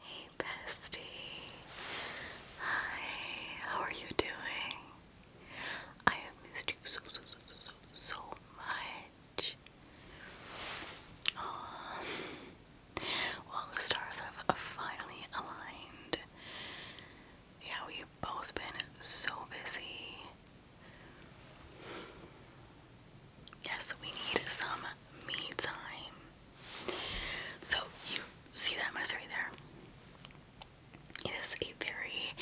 Hey bestie. Hi, how are you doing? I have missed you so so so so so much. Um well the stars have finally aligned. Yeah, we've both been so busy. Yes, we need some me time. So you see that mess right there. It is a very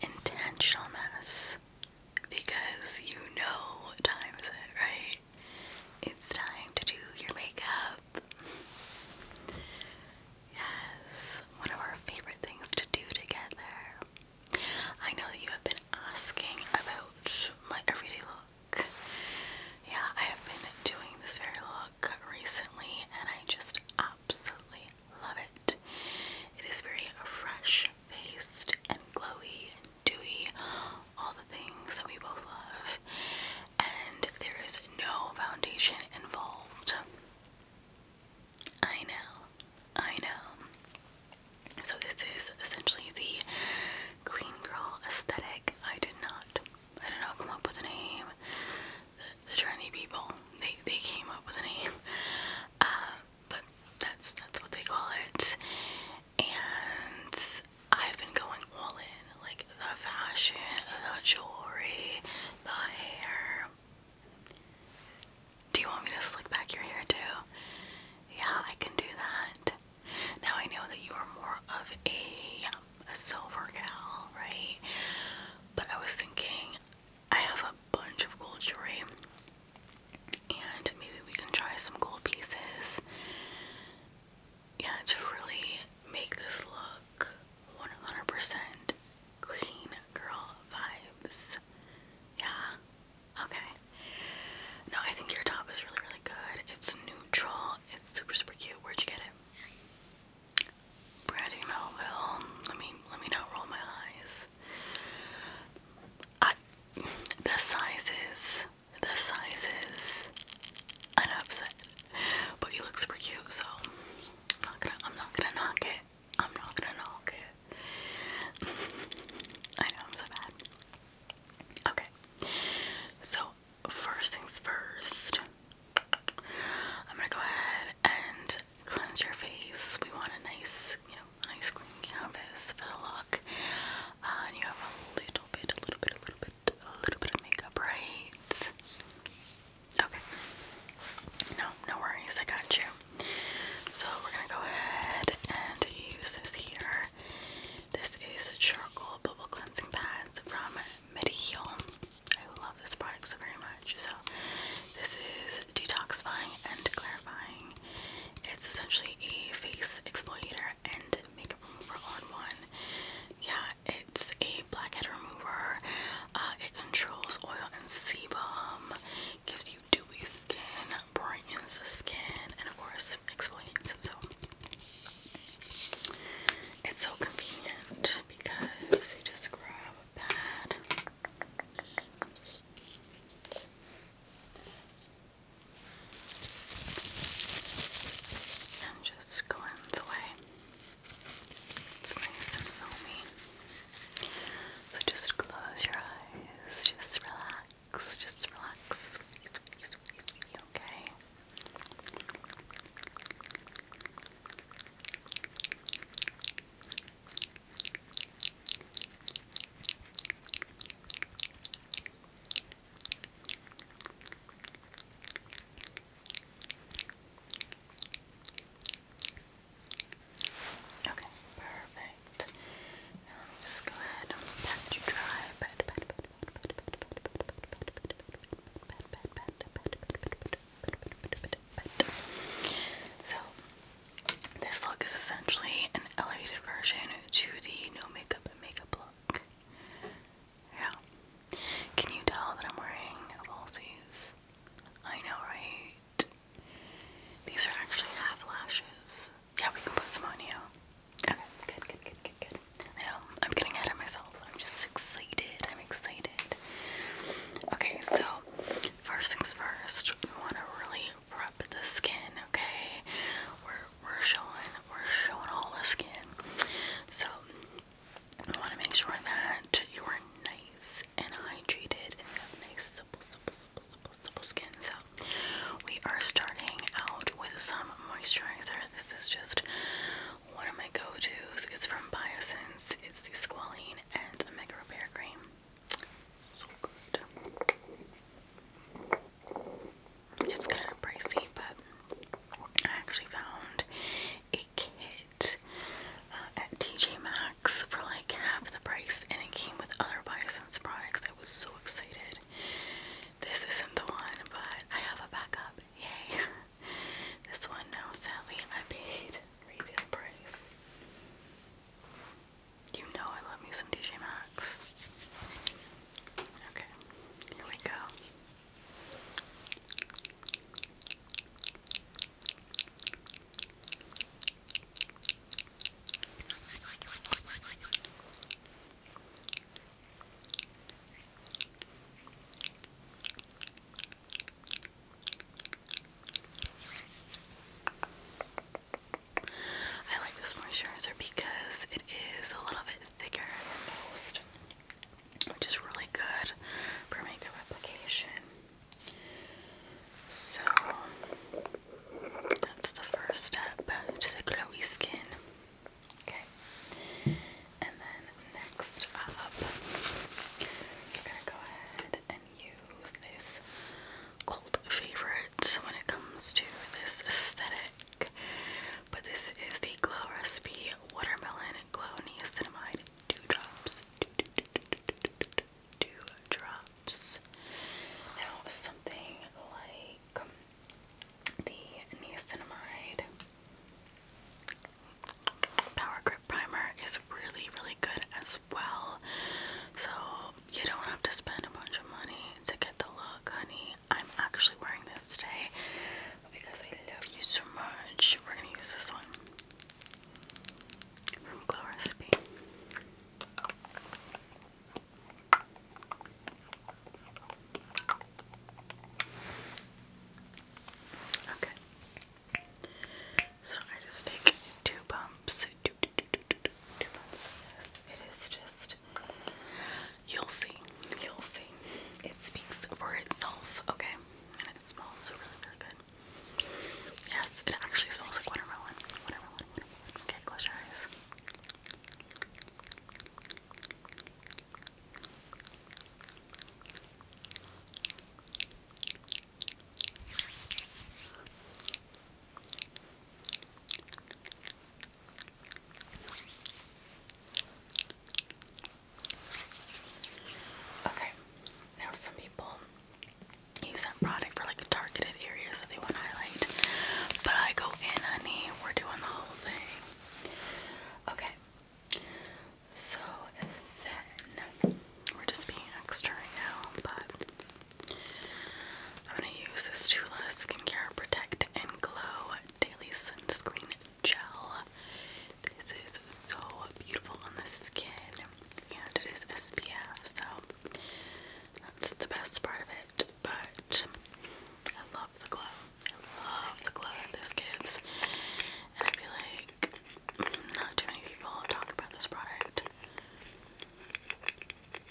intentional mess because you know what time is it, right? It's time to do your makeup. Yes, one of our favorite things to do together. I know that you have been asking about my everyday look. Yeah, I have been doing this very look recently and I just absolutely love it. It is very fresh faced and glowy and dewy, all the things that we both love. And there is no foundation involved. I know, I know. So, this is essentially the clean girl aesthetic. I did not. I did not come up with a name. The, trendy people, they, they came up with a name. Uh, but that's that's what they call it. And I've been going all in. Like the fashion, the jewelry, the hair. Do you want me to slick back your hair too? Yeah, I can do that. Now I know that you are more of a, a silver gal, right? But I was thinking I have a bunch of gold jewelry and maybe we can try some gold pieces. Yeah, to really make this look 100% clean girl vibes. Yeah. Okay. No, I think your top is really, really really good. It's neutral. It's super super cute. Where'd you get it? Brandy Melville. Let me let me not roll my eyes. I the sizes. The sizes. I'm upset. But you look super cute, so I'm not gonna I'm not gonna knock it. I'm not gonna knock it. I know so bad. Okay. So first things first, I'm gonna go ahead and cleanse your face. We want a nice, you know, a nice clean canvas for the look. Uh, and you have a little bit, a little bit, a little bit, a little bit of makeup, right? Okay. No, no worries. I got you. So we're gonna go ahead and use this here this is charcoal bubble cleansing pads from Mediheal. I love this product so very much. So this is detoxifying and clarifying. It's essentially a face exfoliator and makeup remover on one. Yeah, it's a blackhead remover. Uh, it controls oil and sebum, gives you dewy skin, brightens the skin, and of course exfoliates. So it's so convenient because you just grab a pad. And just cleanse away. It's nice and filmy. So just close your eyes, just relax just relax. Okay. Okay, perfect. let me just go ahead and pat you dry, pat, pat, pat, so, this look is essentially an elevated version to the no makeup and makeup look. Yeah. Can you tell that I'm wearing falsies? I know, right? These are actually half lashes. Yeah, we can put some on you. Okay, good, good, good, good, good. I know, I'm getting ahead of myself. I'm just excited. I'm excited. Okay, so first things first, we want to really prep the skin, okay? We're we're showing we're showing all the skin. So we want to make sure that you are nice and hydrated and have nice supple supple supple supple supple skin. So we are starting out out with some moisturizer. This is just one of my go-tos. It's from Biosense. It's the Squalene and Omega Repair Cream. So good. It's kind of pricey, but I actually found a kit uh, at TJ Maxx for like half the price, and it came with other Biosense products. I was so excited. This isn't the one, but I have a backup. Yay. this one, no, sadly, I paid retail price. You know I love me some DJ Maxx. Okay, here we go. I like this moisturizer because it is a little bit thicker than most, which is really good for makeup application. So that's the first step to the glowy skin. Okay. And then next up, we're gonna go ahead and use this cult favorite when it comes to this aesthetic. But this is the Glow Recipe Watermelon Glow Niacinamide Dew Drops. Dew Drops. Now, something like the niacinamide power grip primer is really really good as well so you don't have to spend a bunch of money to get the look honey i'm actually wearing this today because i love you so much we're gonna use this one from glow recipe Okay. So I just take two bumps, of this. It is just, you'll see, you'll see. It speaks for itself, okay? And it smells really, really good. Yes, it actually smells like Watermelon, watermelon. Okay, close your eyes. Okay, now some people use that product for like targeted areas that they want highlight, but I go in, honey, we're doing the whole thing. Okay. So then we're just being extra right now, but I'm gonna use this Tula Skincare Protect and Glow Daily Sunscreen Gel. This is so beautiful on the skin, and it is SPF, so that's the best part of it but I love the glow. I love the glow that this gives. And I feel like not too many people talk about this product.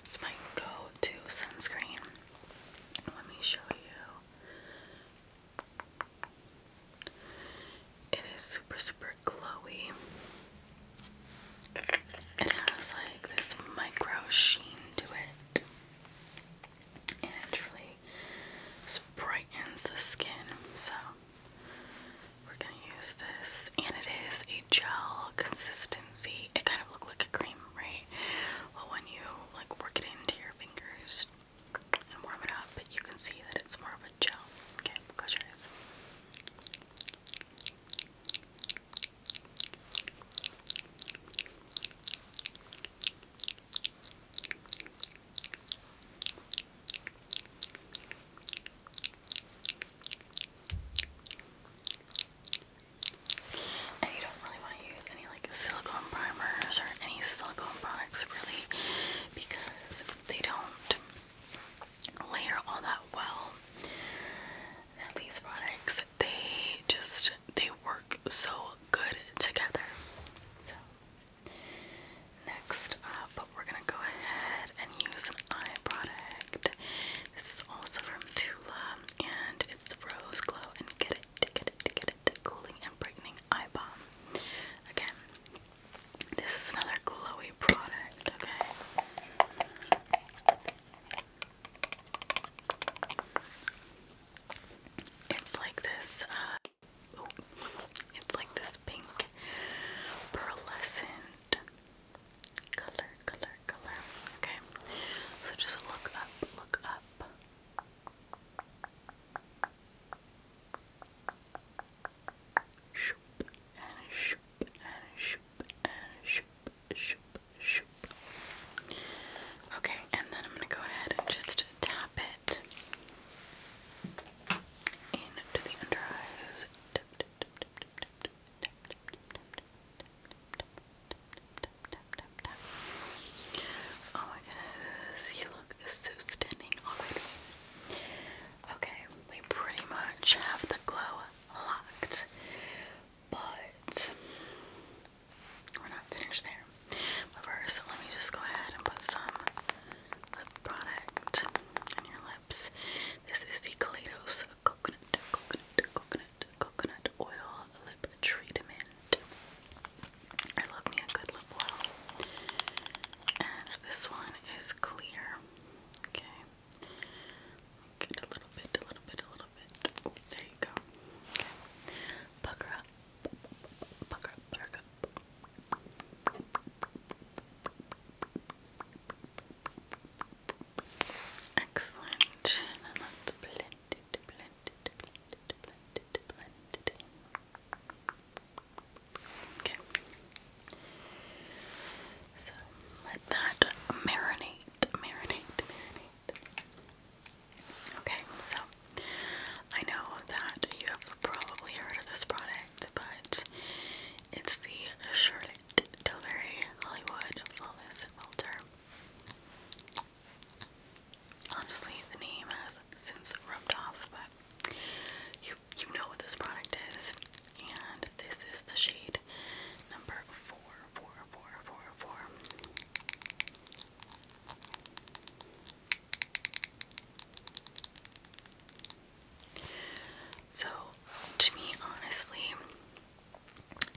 It's my go-to sunscreen. Let me show you. It is super, super glowy. It has like this micro sheen to it and it actually brightens the skin. So we're gonna use this, and it is a gel consistency. It kind of looks like a cream, right? Well, when you like work it into your fingers and warm it up, but you can see that it's more of a gel. Okay, close your eyes. And you don't really want to use any like silicone primers or any silicone products really because they don't layer all that well. And these products they just they work so good together. So next up we're gonna go ahead and use an eye product. This is also from Tula and it's the Rose Glow and Get It, Get It, Get It Cooling and Brightening Eye Balm. Again, this is another glowy product, okay? It's like this, uh, it's like this pink pearlescent color, color, color. Okay, so just look up, look up. Shoop and shoop and shoop and shoop, shoop, Okay, and then I'm gonna go ahead and just tap it into the under eyes. Oh my goodness, you look so stunning Okay, we pretty much have the glow locked, but we're not finished there. But first, let me just go ahead and put some lip product on your lips. This is the Kaleidos Coconut, Coconut, Coconut, Coconut Oil Lip Treatment. I love me a good lip oil. And this one is clear. Okay. Get a little bit, a little bit, a little there you go. Okay. Pucker up. Pucker up, pucker up. Excellent. Okay. So let that marinate, marinate, marinate. Okay, so I know that you have probably heard of this product, but it's the Charlotte Tilbury Hollywood Flawless Filter. Honestly, the name has since rubbed off, but you you know what this product is, and this is the shade number four, four, four, four, four. So, to me, honestly,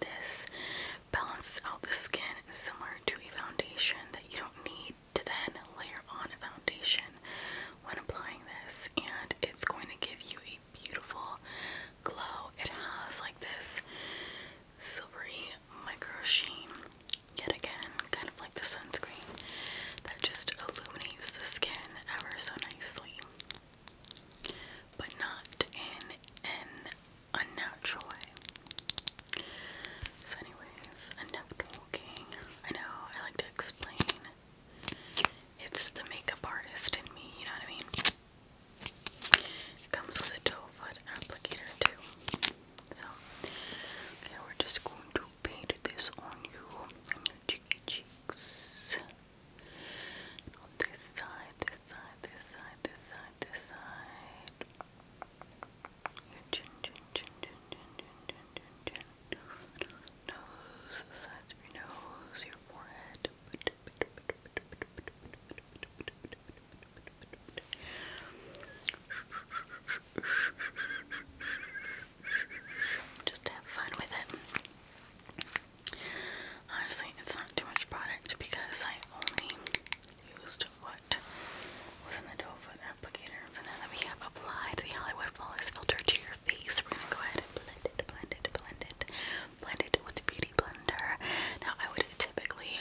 this balances out the skin similar to a foundation that you don't need to then layer on a foundation when applying this, and it's going to give you a beautiful glow. It has like this silvery micro sheen yet again, kind of like the sunscreen that just illuminates the skin ever so nicely, but not in an unnatural way. So, anyways, enough talking. I know I like to explain. It's the makeup artist in me, you know what I mean? It comes with a toe foot applicator too. So, okay, we're just going to paint this on you, cheeky cheeks. this side, this side, this side, this side, this side. chin, chin, chin, chin, chin, chin, chin, chin, chin. Nose, sides of your nose, your forehead. Just have fun with it. Honestly, it's not too much product because I only used what was in the doe foot applicator. So now that we have applied the Hollywood Flawless Filter to your face, we're going to go ahead and blend it, blend it, blend it, blend it with the Beauty Blender. Now, I would typically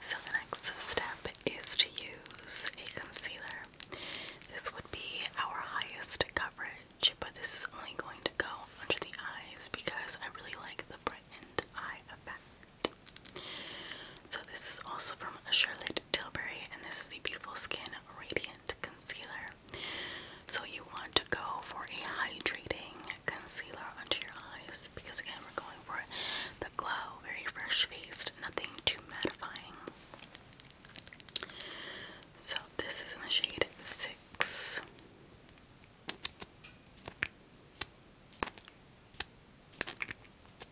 So the next step is to use a concealer. This would be our highest coverage, but this is only going to go under the eyes because I really like the brightened eye effect. So this is also from Charlotte Tilbury, and this is the Beautiful Skin Radiant Concealer. So you want to go for a hydrating concealer under your eyes because again we're going for the glow, very fresh faced, nothing too mattifying. So this is in the shade six.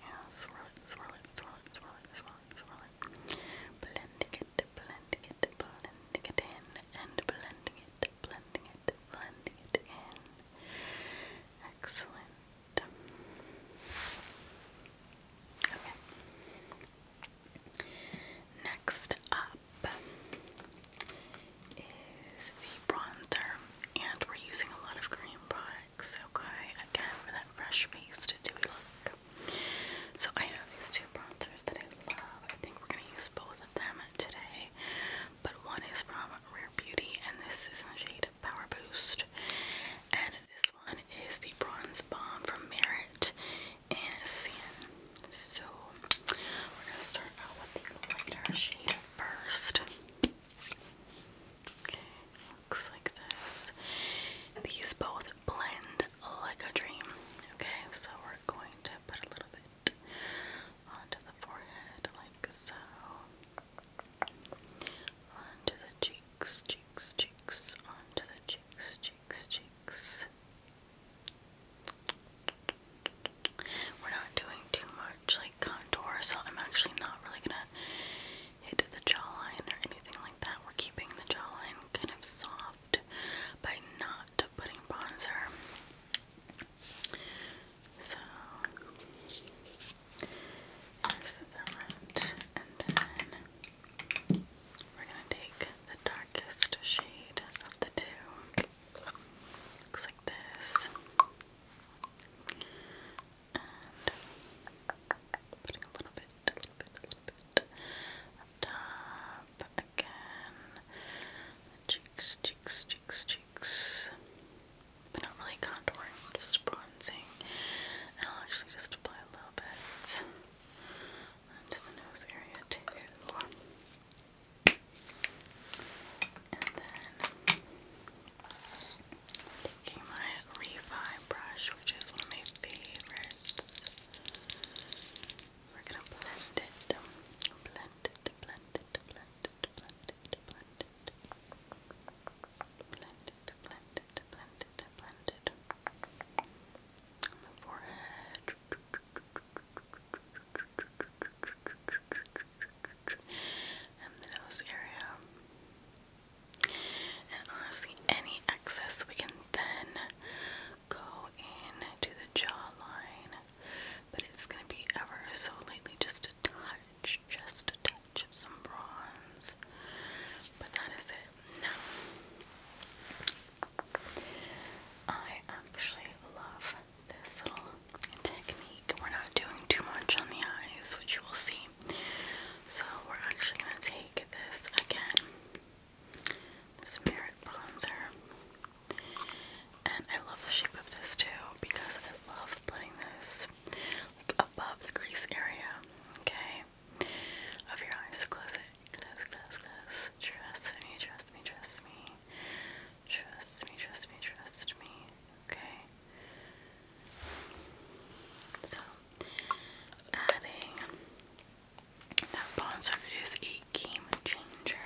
Yeah, swirl it, swirl it, swirl it, swirl it, swirl it, swirl it. Blending it, blending it, blending it in, and blending it, blending it, blending it in. Excellent. Okay. Next up is the bronzer, and we're using a lot of cream pie looks, okay? Again, for that fresh face dewy look. So I have these two bronzers that I love. I think we're going to use both of them today. But one is from Rare Beauty, and this is in the shade Power Boost. And this one is the Bronze Bomb from Merit and Sand. So we're going to start out with the lighter shade first. Okay, looks like this. These both blend like a dream. Okay, so we're going to put a little bit onto the forehead, like so. Onto the cheeks, cheeks, cheeks, onto the cheeks, cheeks, cheeks. We're not doing too much, contour, so I'm actually not really gonna hit the jawline or anything like that. We're keeping the jawline kind of soft by not putting bronzer. So here's the front, and then we're gonna take the darkest shade of the two. Looks like this and putting a little bit, a little bit, a little bit up again. cheeks, cheeks, cheeks, cheeks. But not really contouring, just bronzing. I'll actually just apply a little bit onto the nose area too. And then Taking my refi brush, which is one of my favorites. We're gonna blend it, blend it, blend it, blend it, blend it, blend it, blend it, blend it, blend it, blend it. On the forehead. And the nose area. And honestly, any excess we can then go into the jawline, but it's going to be ever so lightly, just a touch, just a touch of some bronze. But that is it. Now, I actually love this little technique. We're not doing too much on the eyes, which you will see so we're actually going to take this again, this Bronzer. And I love the shape of this too because I love putting this like above the crease area, okay, of your eyes. Close it, close, close, close. Trust me, trust me, trust me. Trust me, trust me, trust me. Okay. So, adding that bronzer is a game changer.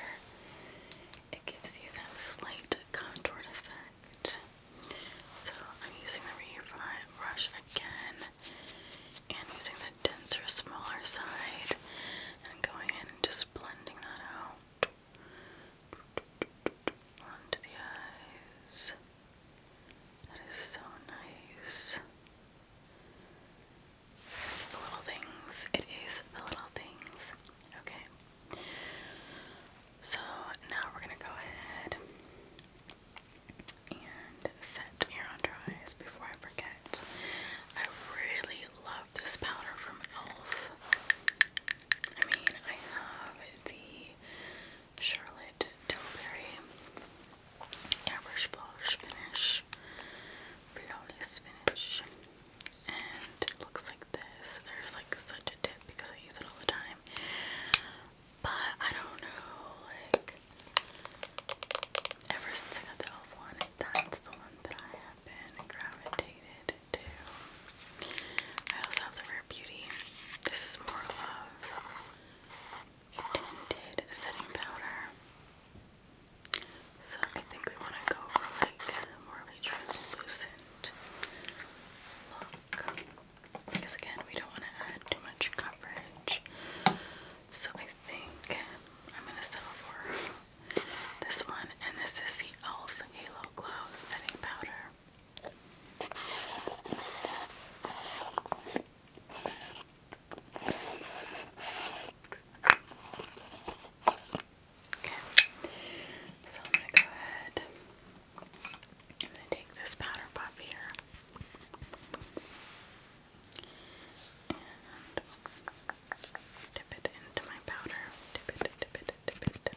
It gives you that slight contoured effect. So, I'm using the refi brush again and using the denser, smaller side and going in and just blending that out onto the eyes. That is so nice. It's the little things. It is the little things. Okay. So now we're going to go ahead and set your under eyes before I forget. I really love this powder from e.l.f. I mean, I have the Charlotte Tilbury airbrush blush finish, flawless finish, and it looks like this. There's like such a tip because I use it all the time, but I don't know. Like ever since I got the elf one, that's the one that I have been gravitated to. I also have the Rare Beauty. This is more of a setting powder. So I think we want to go for like more of a translucent look. Because again, we don't want to add too much coverage. So I think I'm going to settle for this one. And this is the e.l.f. Halo Glow Setting Powder. Okay, so I'm going to go ahead. I'm going to take this powder puff here and dip it into my powder. Dip it, dip it, dip it,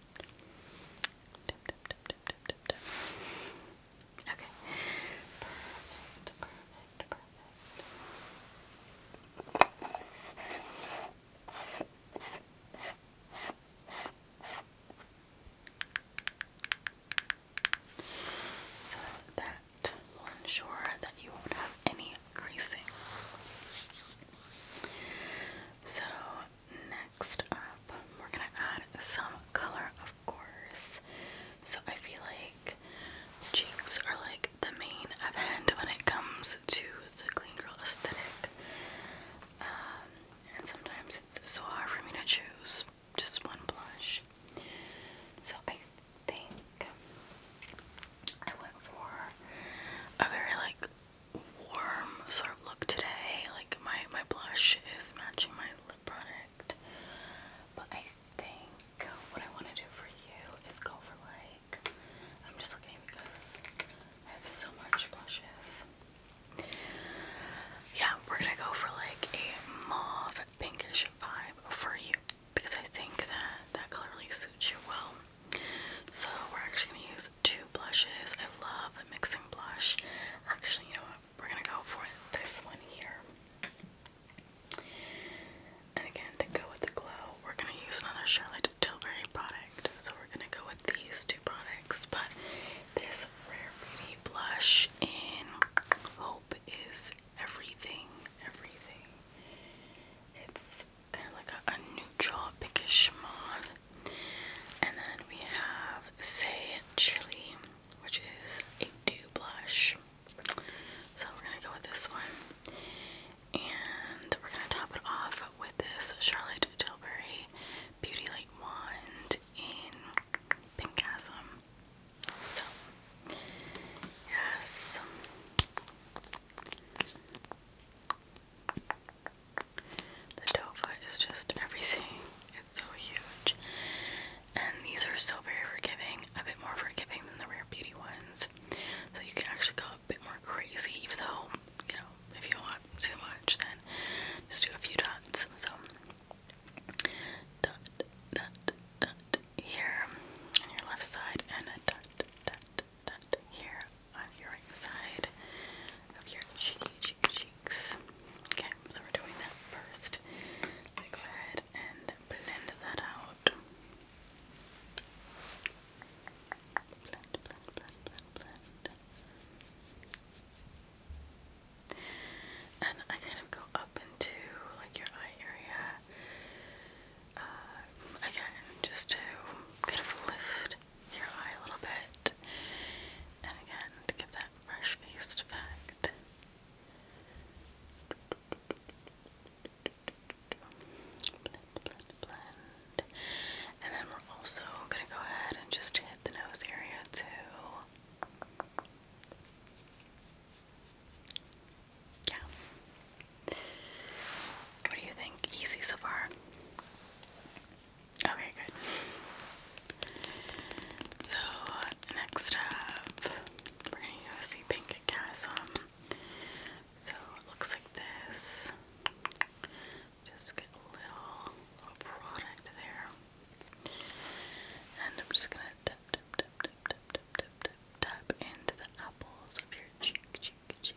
Tip, Okay. So that will ensure that you won't have any creasing. So next up, we're gonna add some color, of course. So I feel like cheeks are like the main event when it comes to the clean girl aesthetic. Um, and sometimes it's so hard for me to choose just one blush. So I think I went for a very like warm sort of look today. Like my my blush is matching my lip product, but I think what I want to do for you is go for like I'm just looking because I have so much blushes. Yeah, we're gonna go for like a mauve pinkish vibe for you because I think that that color really suits you well. So we're actually gonna use two blushes. I love mixing blush. Actually, you know what? We're gonna go for this one here. And again, to go with the glow, we're gonna use another Charlotte Tilbury product. So we're gonna go with these two products, but this Rare Beauty blush in Hope is everything, everything. It's kind of like a, neutral pinkish mauve. And then we have Say Chili, which is a dew blush. So we're gonna go with this one. And we're gonna top it off with this Charlotte Tilbury Beauty Light Wand in Pinkasm. So, yes. The Dova is just everything. It's so huge. And these are so very forgiving, a bit more forgiving than the Rare Beauty ones. So you can actually go a bit more crazy, even though, you know, if you want too much, then just do a few dots. So, dot, dot, dot here on your left side, and a dot, dot, here on your right side of your cheeky cheeks. Okay, so we're doing that first. go ahead and blend that out. Blend, blend, blend, blend, blend. And I kind of go up into like your eye area uh, again, just to kind of lift your eye a little bit. And again, to give that fresh faced effect. And then we're also going to go ahead and just hit the nose area too. Yeah. What do you think? Easy so far? Okay, good. So, next up, we're going to use the pink chasm. So, it looks like this. Just get a little, little product there. And I'm just going to tap, tap, tap, tap, tap, tap, tap, tap into the apples of your cheek, cheek, cheek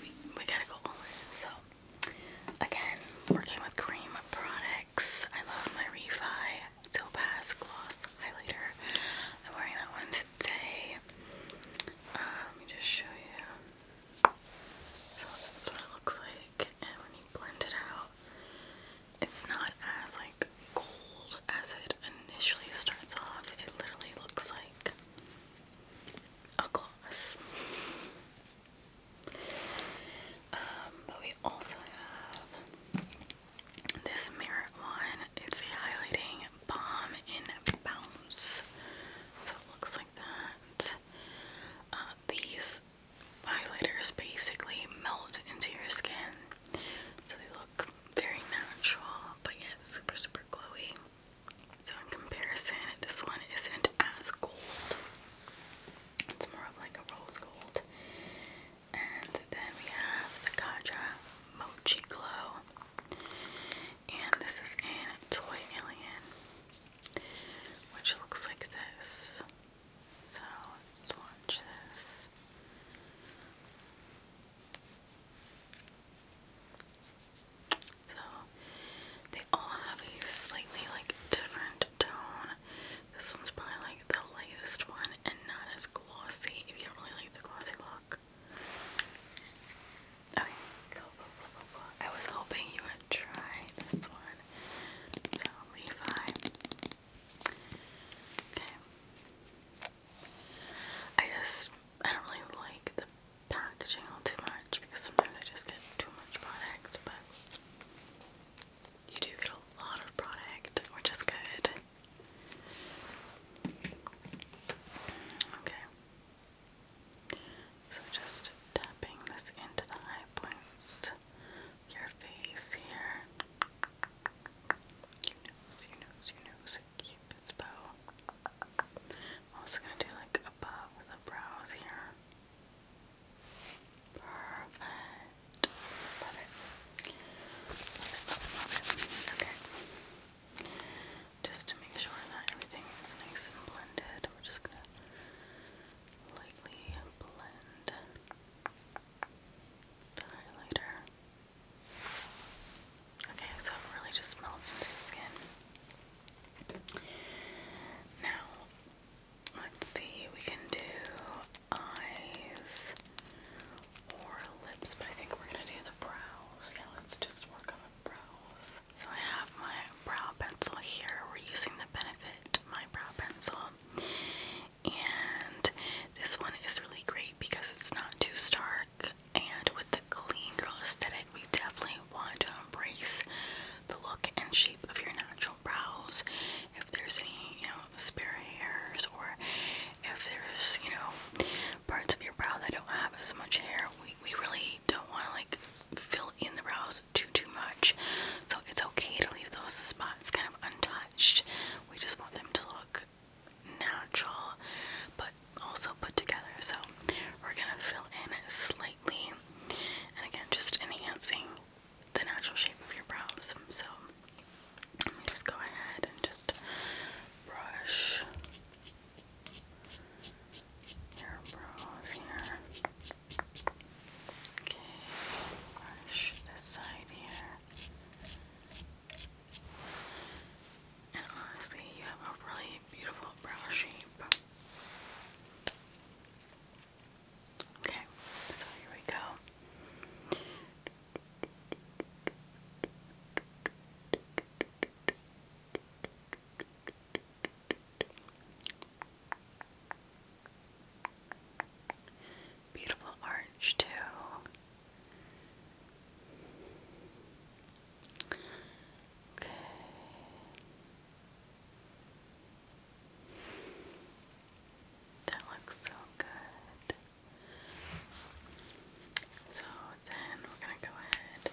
we, gotta go all in. So, again, working with cream products. I love my Refi Topaz Gloss Highlighter. I'm wearing that one today. Uh, let me just show you. So, that's what it looks like. And when you blend it out, it's not as like gold as it initially starts off. It literally looks like a gloss. Um, but we also have this mirror one. It's a highlighting balm in bounce. So it looks like that. Uh, these highlighters basically melt into your skin. So they look very natural, but yet super, super glowy. So in comparison, this one isn't as gold. It's more of like a rose gold. And then we have the Kaja Mochi Glow. And this is in Toy Alien, which looks like this. So let's swatch this. So they all have a slightly like different tone. This one's probably like the lightest one and not as glossy if you really like the glossy look. Okay, I was hoping you would try this one. So Levi. Okay. I just I don't really like the packaging all too much because sometimes I just get too much product, but you do get a lot of product, which is good. Okay. So just tapping this into the high points of your face here. Your nose, your nose, your nose, keep its bow. I'm also going to do like above the brows here. Perfect. Love it. Just to make sure that everything is nice and blended, we're just going to lightly blend the highlighter. Okay, so it really just melts into the skin. Now, let's see, we can do eyes or lips, but I think we're gonna do the brows. Yeah, let's just work on the brows. So I have my brow pencil here. We're using the Benefit My Brow Pencil. And this one is really great because it's not too stark and with the clean girl aesthetic we definitely want to embrace the look and shape of your natural brows if there's any you know spare hairs or if there's you know parts of your brow that don't have as much hair we, we really don't want to like fill in the brows too too much so it's okay to leave those spots kind of untouched we just want them to look natural but also put together. So we're gonna fill in slightly, and again, just enhancing the natural shape of your brows. So let me just go ahead and just brush your brows here. Okay, brush this side here. And honestly, you have a really beautiful umbrella shape. Okay, so here we go. Beautiful orange, too. Okay. That looks so good. So then we're going to go ahead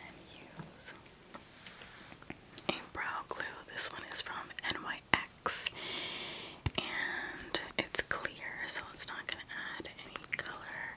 and use a brow glue. This one is from NYX and it's clear, so it's not going to add any color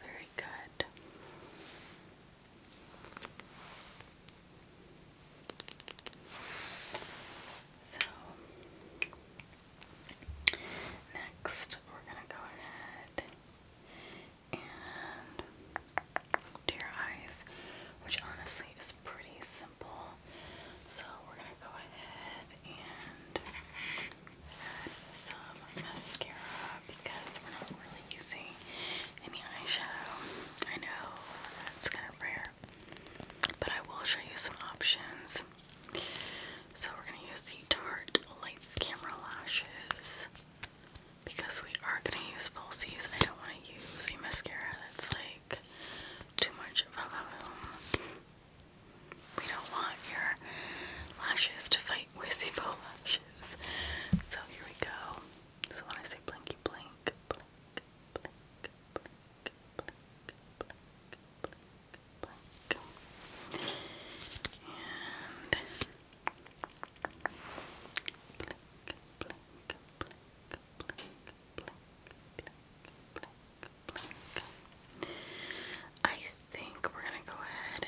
Very good. So next we're gonna go ahead and do your eyes, which honestly is pretty simple. So we're gonna go ahead and add some mascara because we're not really using any eyeshadow. I know that's kind of rare, but I will show you some options. So we're gonna use the Tarte Lights Camera Lashes because we are gonna use falsies. I don't want to use a mascara that's like too much of a boom. We don't want your lashes to fight with the faux lash. So here we go. So when I say blinky blink, blink, blink, blink, blink, blink, blink, blink. And blink, blink, blink, blink, blink, blink, blink, blink. I think we're gonna go ahead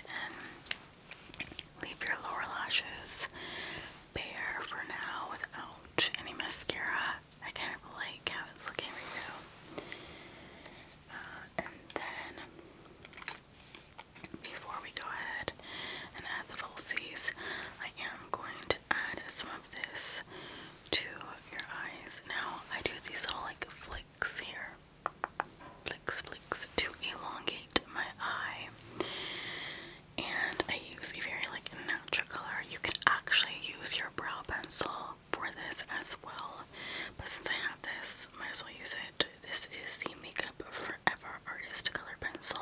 and leave your lower lashes bare for now without any mascara. I kind of like how it's looking right now. Uh, and then before we go ahead and add the falsies, I am going to add some of this to your eyes. Now I do these little like flicks here. Blix Blix to elongate my eye. And I use a very like natural color. You can actually use your brow pencil for this as well. But since I have this, might as well use it. This is the Makeup Forever Artist Color Pencil.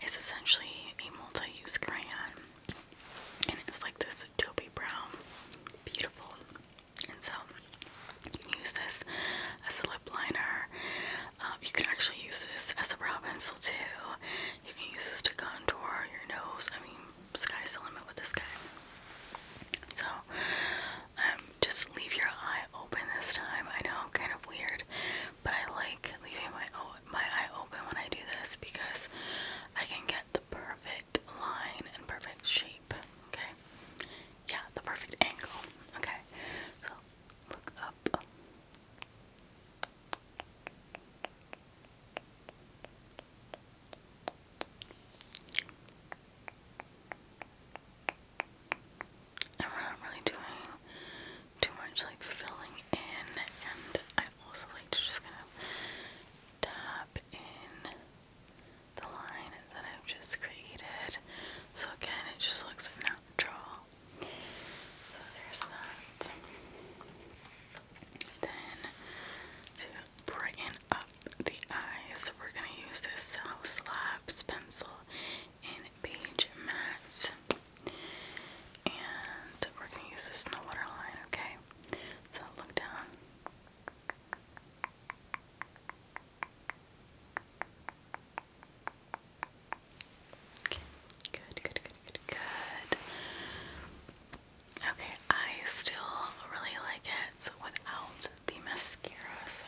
It's essentially a multi-use crayon. And it's like this dopey brown. Beautiful. And so you can use this as a lip liner. Um, you can actually use this as a brow pencil too. You can use this to contour your nose. I mean, sky's the limit with this guy. So, um, just leave your eye open this time. I know, kind of weird, but I like leaving my my eye open when I do this because I can get the perfect line and perfect shape Okay. Yeah, the perfect angle. Okay. So look up. And we're not really doing too much like filling in, and I also like to just kind of tap in the line that I've just created. So again, it just looks natural. So there's that. Then to brighten up the eyes, we're gonna use this House Labs pencil in Page Matte. And we're gonna use this in the waterline, okay? So look down. Okay, good, good, good, good, good. Okay, I still really like it so without the mascara, so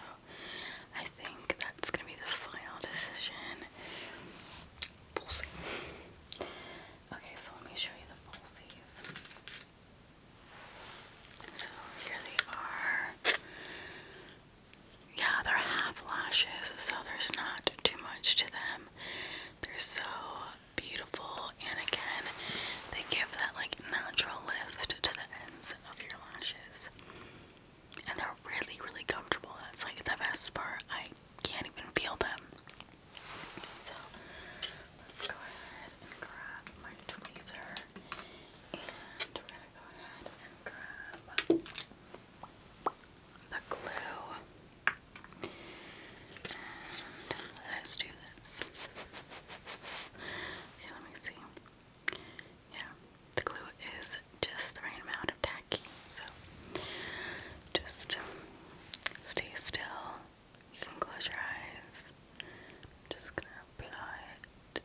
I think that's gonna be the final decision. Pulsy. Okay, so let me show you the falsies. So here they are. Yeah, they're half lashes, so there's not too much to them. They're so beautiful, and again, they give that like natural lift to the ends of your lashes. And they're really, really comfortable. That's like the best part. I can't even feel them. So let's go ahead and grab my tweezer and go ahead and grab the glue and let's do this. Okay, let me see. Yeah, the glue is just the right amount of tacky, so just um, stay still. You can close your eyes. I'm just gonna apply it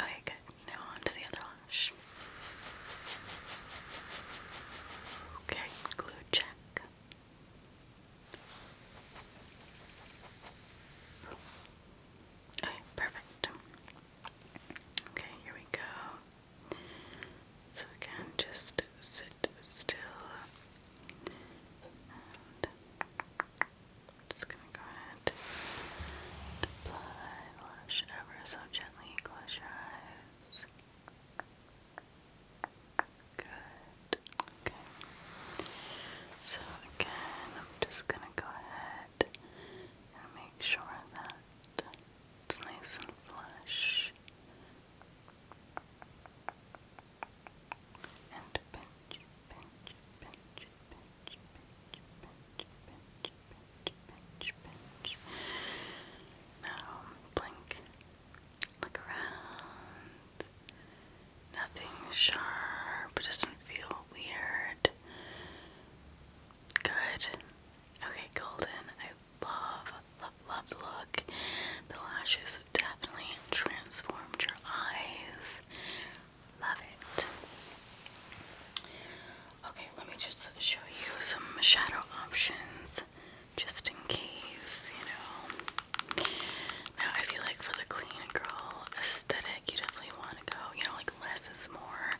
Okay, good. Now on to the other lash. Okay, glue check. Okay, perfect. Okay, here we go. So again, just sit still just gonna go ahead and apply lash ever so gently. Close your eyes. Good. Okay. So again, I'm just gonna go ahead and make sure that it's nice and flush. And pinch, pinch, Now blink. Look around. Nothing sharp. It doesn't feel weird. Good. Okay, golden. I love, love, love the look. The lashes have definitely transformed your eyes. Love it. Okay, let me just show you some shadow options just in case, you know. Now, I feel like for the clean girl aesthetic, you definitely want to go, you know, like less is more,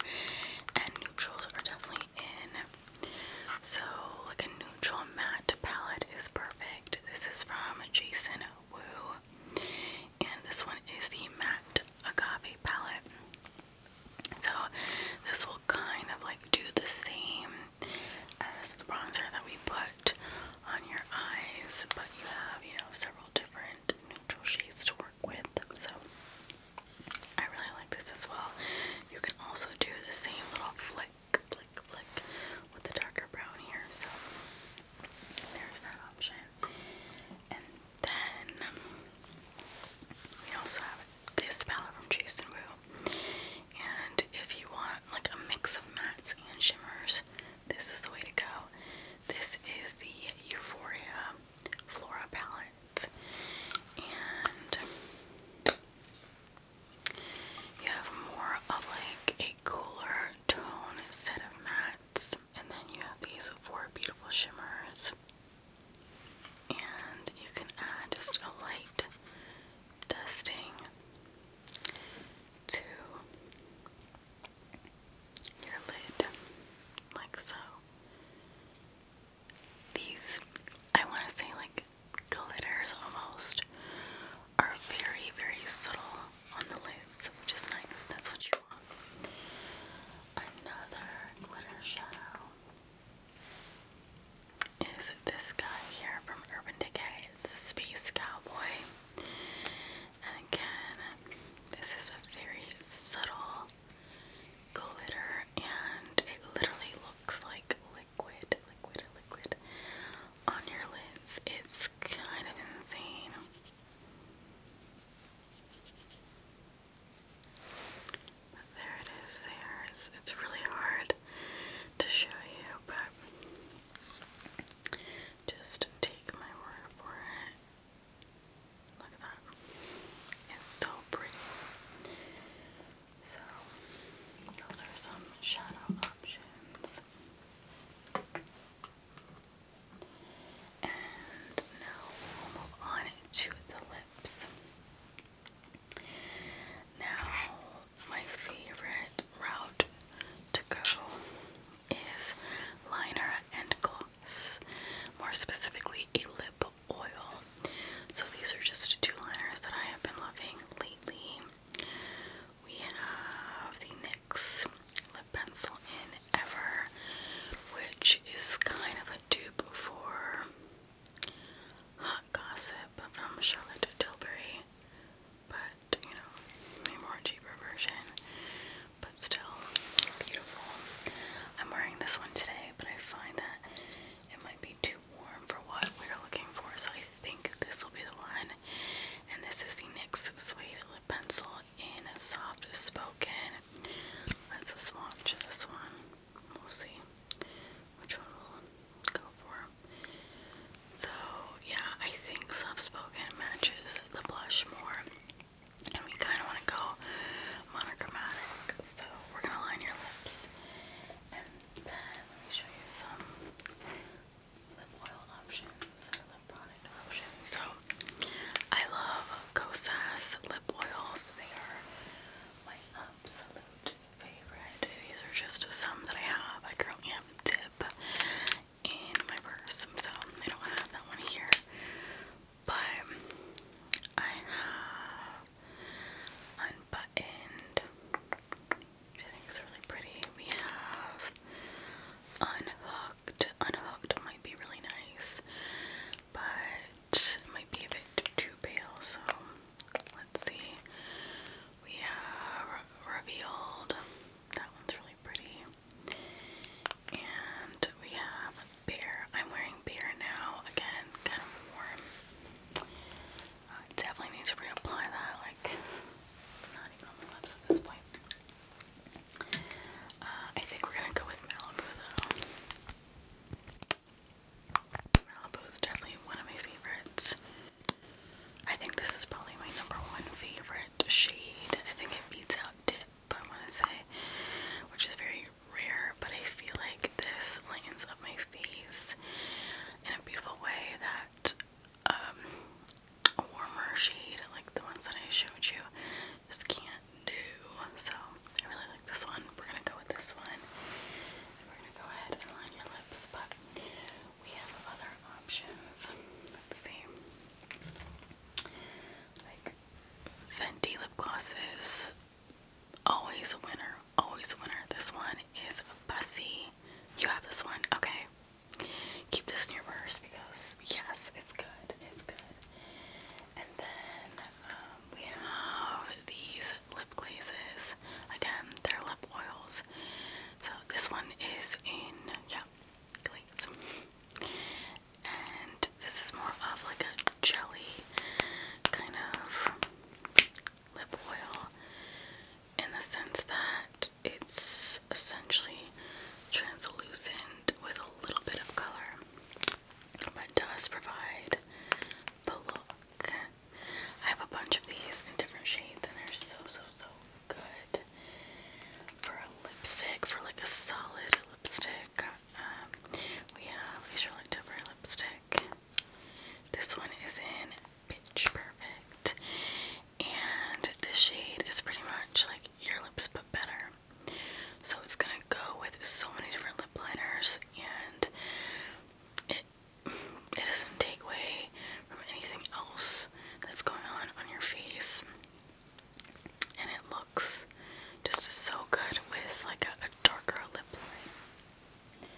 and neutrals are definitely in. So, like a neutral matte palette is perfect. This is from Jason Wu and this one is the matte agave palette. So this will kind of like do the same as the bronzer that we put on your eyes, but you have, you know, several different neutral shades to work with. So I really like this as well. You can also do the same little flick, flick, flick with the darker brown here. So there's that option. And then we also have this palette from Chase Woo. And if you want like a mix of mattes and shimmers, this is the way to go. This is the Euphoria Flora palette. And you have more of like a cooler tone instead of mattes. And then you have these four beautiful shimmers. And you can add just a light dusting to your lid, like so. These, I want to say, like glitters almost, are very, very subtle on the lids, which is nice. That's what you want. Another glitter shadow is this guy here from Urban Decay. It's the Space Cowboy. And again, this is a very subtle glitter and it literally looks like liquid, liquid, liquid on your lids. It's kind of insane there it is there. It's, it's really hard to show you, but just take my word for it. Look at that. It's so pretty. So, those are some shadow options. And now we'll move on to the lips. Now, my favorite route to go is liner and gloss, more specifically, a lip oil. So, these are just two liners that I have been loving lately. We have the lip pencil in Ever, which is kind of a dupe for Hot Gossip from Charlotte Tilbury, but you know, a more cheaper version, but still beautiful. I'm wearing this one today, but I find that it might be too warm for what we're looking for, so I think this will be the one. And this is the NYX Suede Lip Pencil in Soft Spoken. That's a swatch of this one. We'll see which one we'll go for. So, yeah, I think Soft Spoken matches the blush more. And we kind of want to go monochromatic. So, we're going to line your lips. And then, let me show you some lip oil options. So I love Kosas lip oils. They are my absolute favorite. These are just some that I have. I currently have Dip in my purse, so I don't have that one here. But I have Unbuttoned, I think is really pretty. We have unhooked. Unhooked might be really nice, but might be a bit too pale. So let's see. We have revealed. That one's really pretty. And we have bear. I'm wearing bear now. Again, kind of warm. Uh, definitely need to reapply that. Like it's not even on the lips at this point. Uh, I think we're gonna go with Malibu though. Malibu's definitely one of my favorites. I think this is probably my number one favorite shade. I think it beats out Dip, I wanna say, which is very rare, but I feel like this lightens up my face in a beautiful way that um, a warmer shade like the ones that I showed you just can't do. So I really like this one. We're gonna go with this one. we're gonna go ahead and line your lips, but we have other options. Let's see. Like Fenty lip glosses. Always a winner. Always a winner. This one is Bussy. You have this one. Okay keep this in your purse because yes, it's good. It's good. And then um, we have these lip glazes. Again, they're lip oils. So this one is in yeah, glaze. And this is more of like a jelly kind of lip oil in the sense that it's essentially translucent with a little bit of color, but does provide the look. I have a bunch of these in different shades, and they're so so so good for a lipstick, for like a solid lipstick. Um, we have a Charlotte Tilbury lipstick. This one is in Pitch Perfect, and this shade is pretty much like your lips but better. So it's gonna go with so many different lip liners, and it it doesn't take away from anything else that's going on on your face, and it looks just so good with like a, darker lip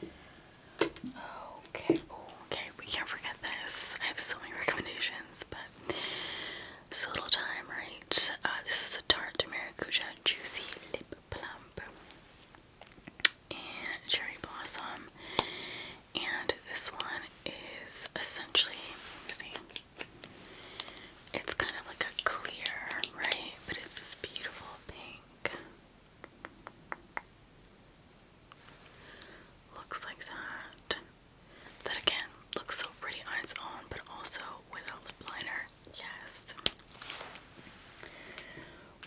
line. Okay, oh, okay, we can't forget this. I have so many recommendations, but it's a little time, right? Uh, this is the Tarte Maracuja Juicy Lip Plump and Cherry Blossom. And this one is essentially, it's kind of like a clear, right? But it's this beautiful pink. Looks like that that again looks so pretty on its own, but also with a lip liner. Yes.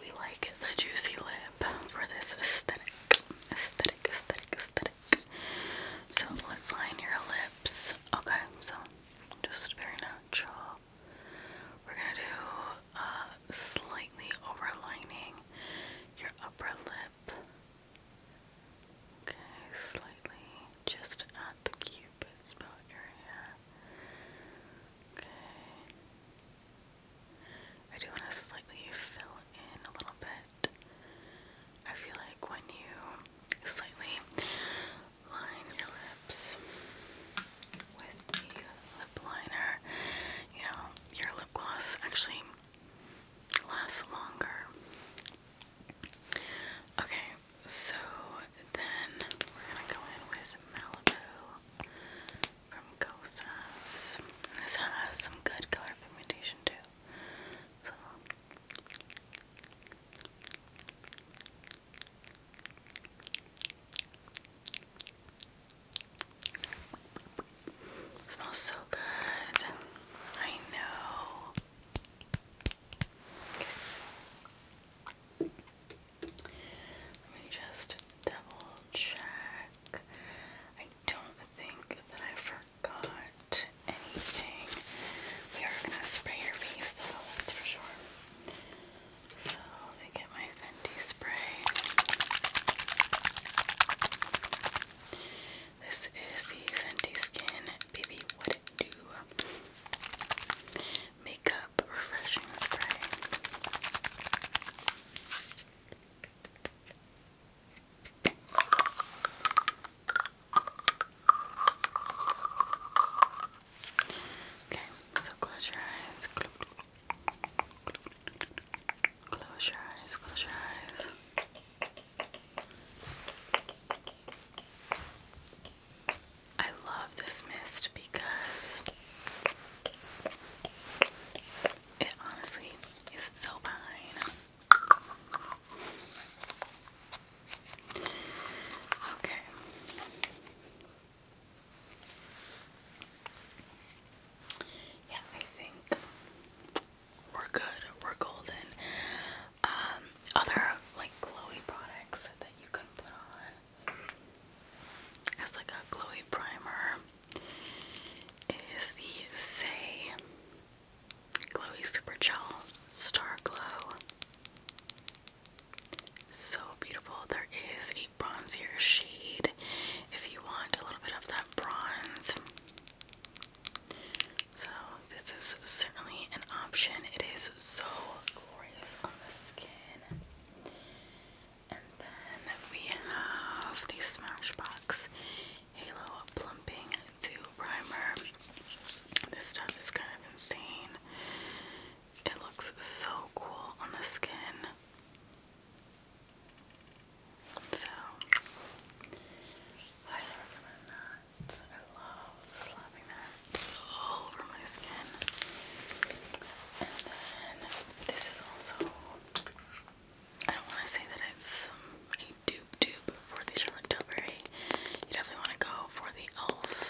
We like the juicy lip for this aesthetic. Aesthetic, aesthetic, aesthetic. So let's line your lips. Okay, so just very natural. We're gonna do uh, slightly overlining your upper lip. Okay, slightly just at the cupid's bow area. Okay. I do want to slightly fill in a little bit. I feel like when you slightly line your lips with the lip liner, you know, your lip gloss actually lasts longer. Okay, so then we're gonna go in with Malibu from Gosas. This has some good color pigmentation too. So smells so good. I know. Okay. Let me just double check. I don't think that I forgot anything. We are gonna spray your face though, that's for sure. So let me get my Fenty spray. This is the Fenty Skin baby. What do? Makeup refreshing spray. Okay, so close your eyes. Close your eyes, close your eyes. I love this mist because it honestly is so fine. Okay. Yeah, I think we're good. We're golden. Um, other like glowy products that you can put on as like a glowy primer. It is the Say Glowy Super Gel Star Glow. So beautiful. There is a bronzer shade if you want a little bit of that bronze. So this is certainly an option. It is so glorious on the skin. And then we have the Smashbox Halo Plumping 2 Primer. This stuff is kind of insane. It looks so cool on the skin. So, I recommend that. I love slapping that all over my skin. And then this is also, I don't want to say that it's um, a dupe dupe for the Charlotte Tilbury. You definitely want to go for the e.l.f.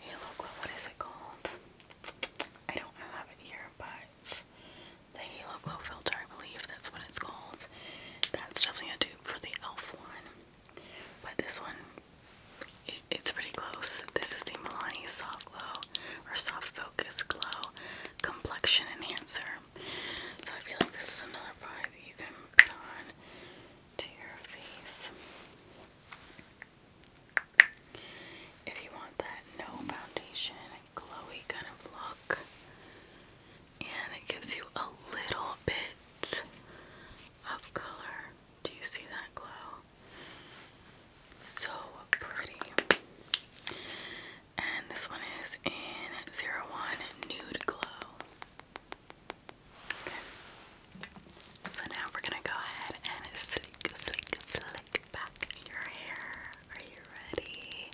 Halo Glow. What is it called? I don't have it here, but the Halo Glow filter, I believe that's what it's called that's definitely a dupe for the e.l.f. one. But this one, it's pretty close. This is the Milani Soft Glow or Soft Focus Glow Complexion Enhancer. So I feel like this is another product that you can put on to your face. If you want that no foundation, glowy kind of look, and it gives you a little bit of color. Do you see that glow? So pretty. And this one is in zero one Nude Glow. So now we're gonna go ahead and slick, slick, slick back your hair. Are you ready?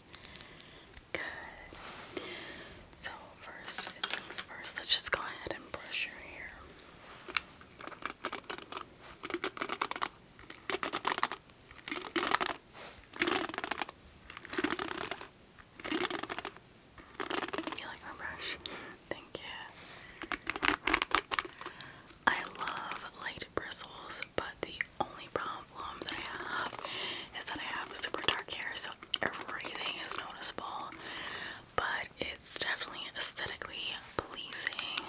Good. So, first things first, let's just go ahead and brush your hair. You like my brush? Thank you. I love light bristles, but the only problem problem that I have is that I have super dark hair, so everything is noticeable, but it's definitely aesthetically pleasing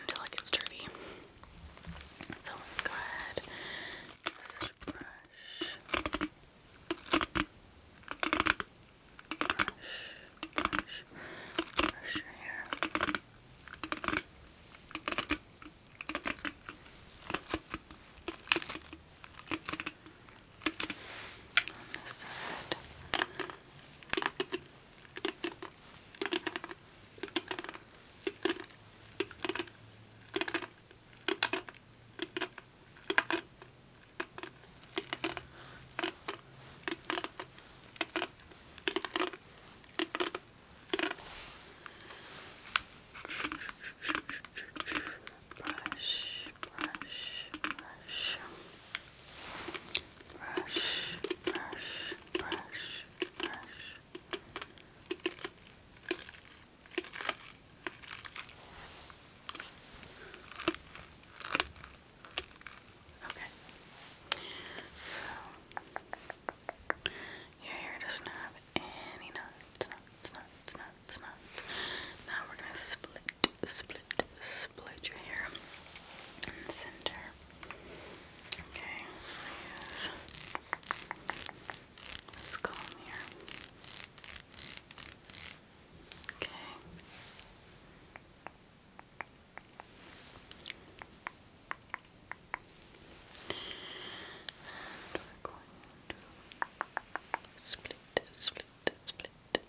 until it gets dirty. So let's go ahead brush. Brush, brush, your hair. On this side. Okay brush, brush, brush, brush, brush, brush. Okay. So your hair doesn't have any knots, knots, knots, knots, knots. Now we're gonna split, split, split your hair in the center. Okay, I use this comb here. Okay. And we split, split, split. Good, good, good.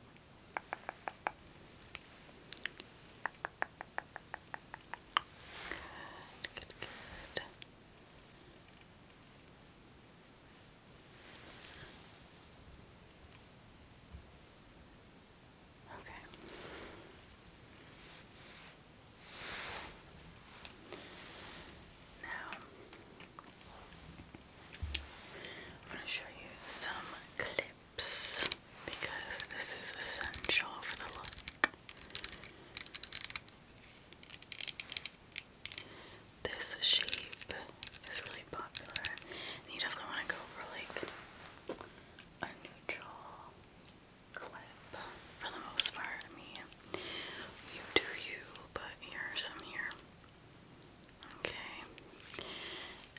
Okay. Now, I'm going to show you some clips because this is essential for the look. This shape is really popular, and you definitely want to go for like a neutral for the most part. I you do you, but here's some here. Okay.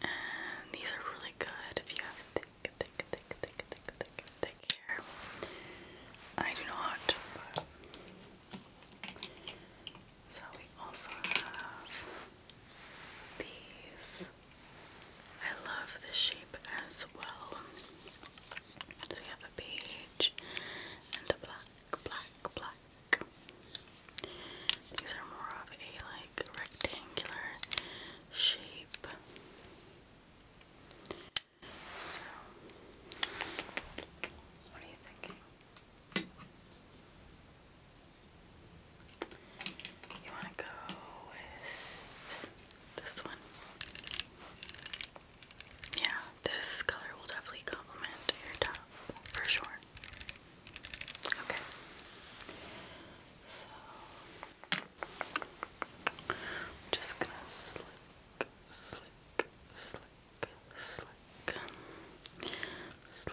And these are really good if you have thick, thick, thick, thick, thick, thick, thick hair. I do not, So we also have these. I love the shape as well. So we have a beige and a black, black, black. These are more of a like rectangular shape. So, what are you thinking? You want to go with this one? Yeah, this color will definitely complement your top for sure. Okay. So I'm just gonna slick, slick, slick, slick, slick, slick,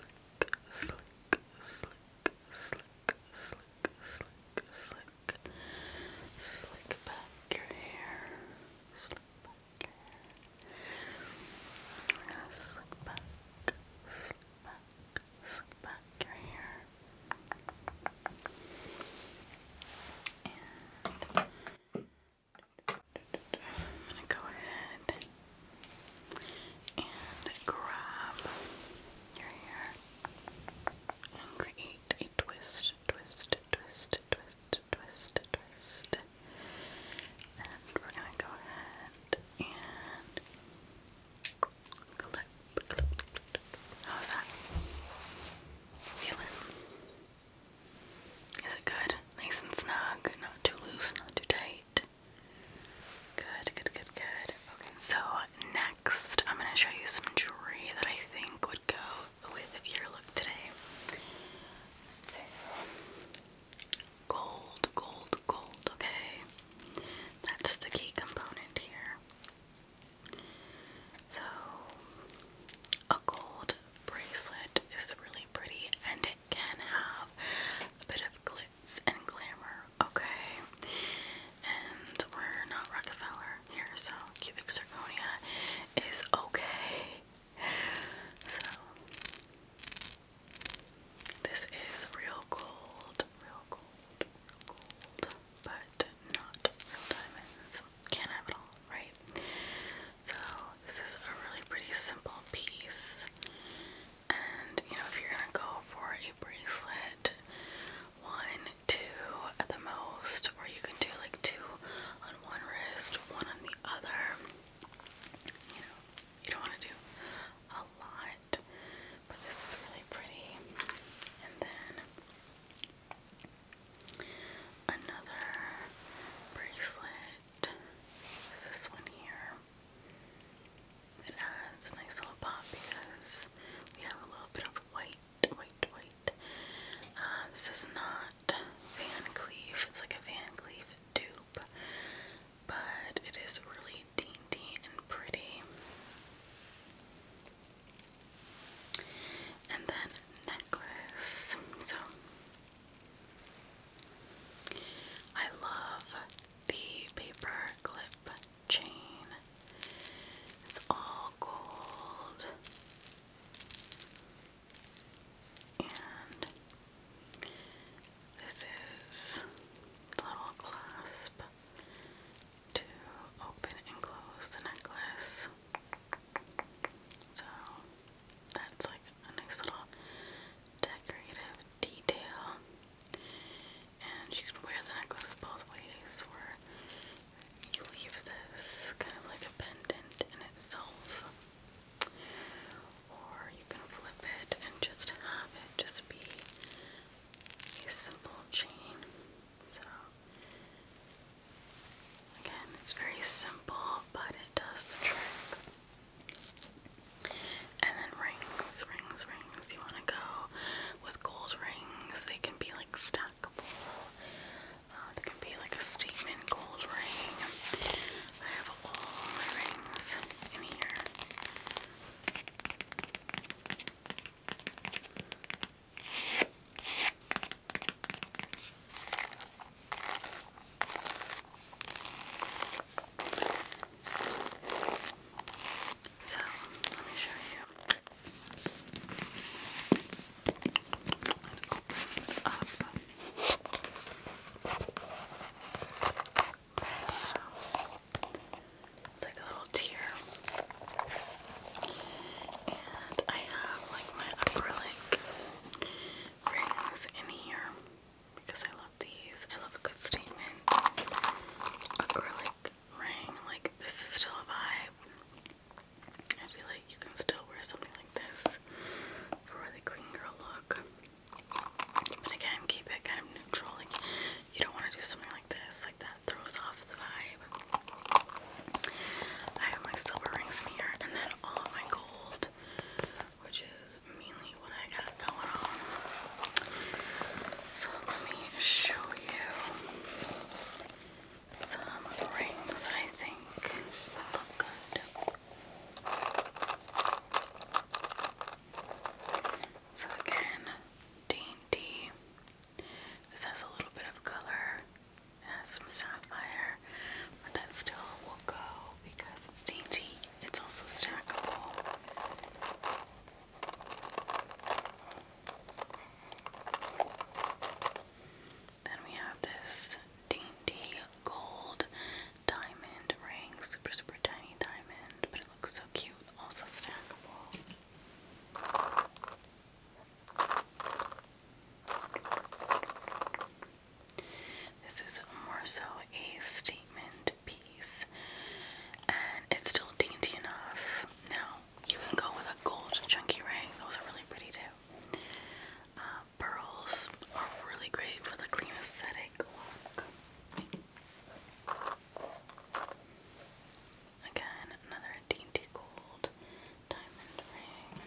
slick, slick, slick, slick, slick, slick back your hair, slick back your hair. slick back, slick back, slick back your hair. And I'm gonna go ahead and grab your hair and create a twist twist, twist, twist, twist, twist. And we're gonna go ahead and clip, clip. How's that? Feeling? Is it good? Nice and snug, not too loose, not too tight. Good, good, good, good. Okay, so next I'm gonna show you some jewelry that I think would go with your look today. So, gold, gold, gold, okay? That's the key component here. So, a gold bracelet is really pretty and it can have a bit of glitz and glamour, okay? And we're not Rockefeller, here, so cubic zirconia is okay. So this is real gold, real gold, real gold, but not real diamonds. Can't have it all, right? So this is a really pretty simple piece. And you know, if you're gonna go for a bracelet, one two at the most, or you can do like two on one wrist, one on the other. You know, you don't want to do a lot, but this is really pretty. And then another bracelet is this one here. It adds a nice little pop because we have a little bit of white wait, wait. Uh, this is not Van Cleef. It's like a Van Cleef dupe, but it is really dainty and pretty. And then necklace. So I love the paper clip chain. It's all gold and this is the little clasp to open and close the necklace. So that's like a nice little decorative detail. And you can wear the necklace both ways, you leave this kind of like a pendant in itself, or you can flip it and just have it just be a simple chain. So, again, it's very simple, but it does the trick. And then rings, rings, rings. You want to go with gold rings, they can be like stackable. Uh, there can be like a statement gold ring. I have all my rings in here. So, let me show you. It opens it's like a little tier. And I have like my acrylic rings in here because I love these. I love a good statement acrylic ring. Like this is still a vibe. I feel like you can still wear something like this for the clean girl look. But again, keep it kind of neutral. Like you don't want to do something like this, like that throws off the vibe. I have my silver rings here, and then all of my gold, which is mainly what I got going on. So let me show you some rings I think look good. So again, dainty. This has a little bit of color. It has some sapphire, but that still will go because it's dainty. It's also stackable. Then we have this dainty gold diamond ring, super, super tiny diamond, but it looks so cute, also stackable. This is more so a statement piece, and it's still dainty enough. Now, you can go with a gold chunky ring. Those are really pretty too. Uh, pearls are really great for the clean aesthetic look. Again, another dainty gold diamond ring.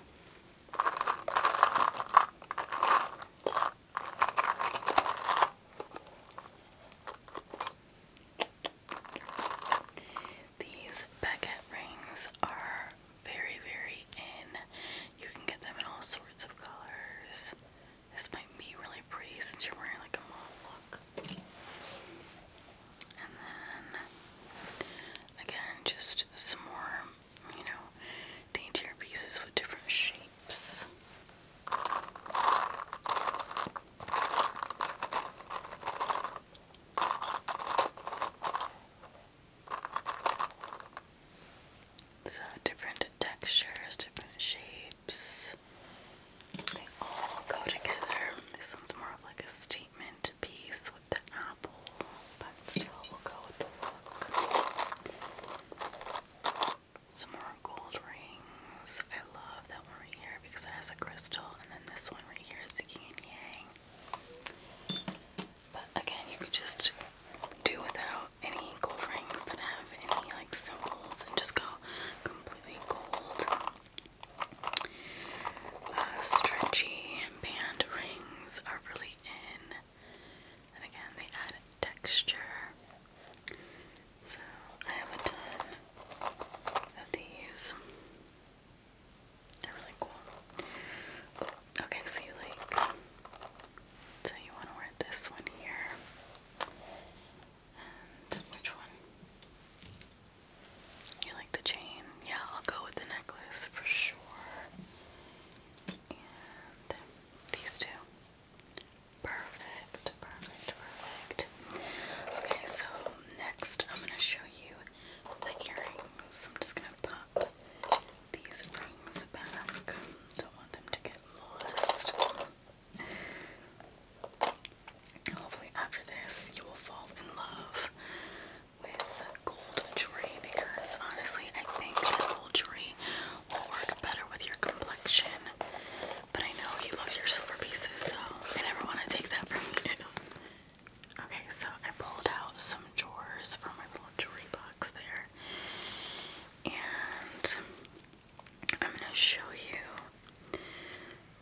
These Beckett rings are very, very in. You can get them in all sorts of colors. This might be really pretty since you're wearing like a mauve look. And then, again, just some more, you know, daintier pieces with different shapes. So different textures, different shapes. They all go together. This one's more of like a statement piece with the apple, but still will go with the look. Some more gold rings. I love that one right here because it has a crystal, and then this one right here is the yin yang. But again, you could just do without any gold rings that have any like symbols and just go completely gold. Uh, stretchy band rings are really in, and again, they add texture. So I have a ton of these. They're really cool. Okay, so you like, so you want to wear this one here, and which one? You like the chain? Yeah, I'll go with the necklace for sure. And these two. Perfect, perfect, perfect. Okay, so next I'm going to show you the earrings. I'm just gonna pop these rings back. Don't want them to get lost. Hopefully after this you will fall in love with gold jewelry because honestly I think gold jewelry will work better with your complexion. But I know you love your silver pieces so I never want to take that from you. Okay, so I pulled out some drawers from my little jewelry box there. And I'm gonna show you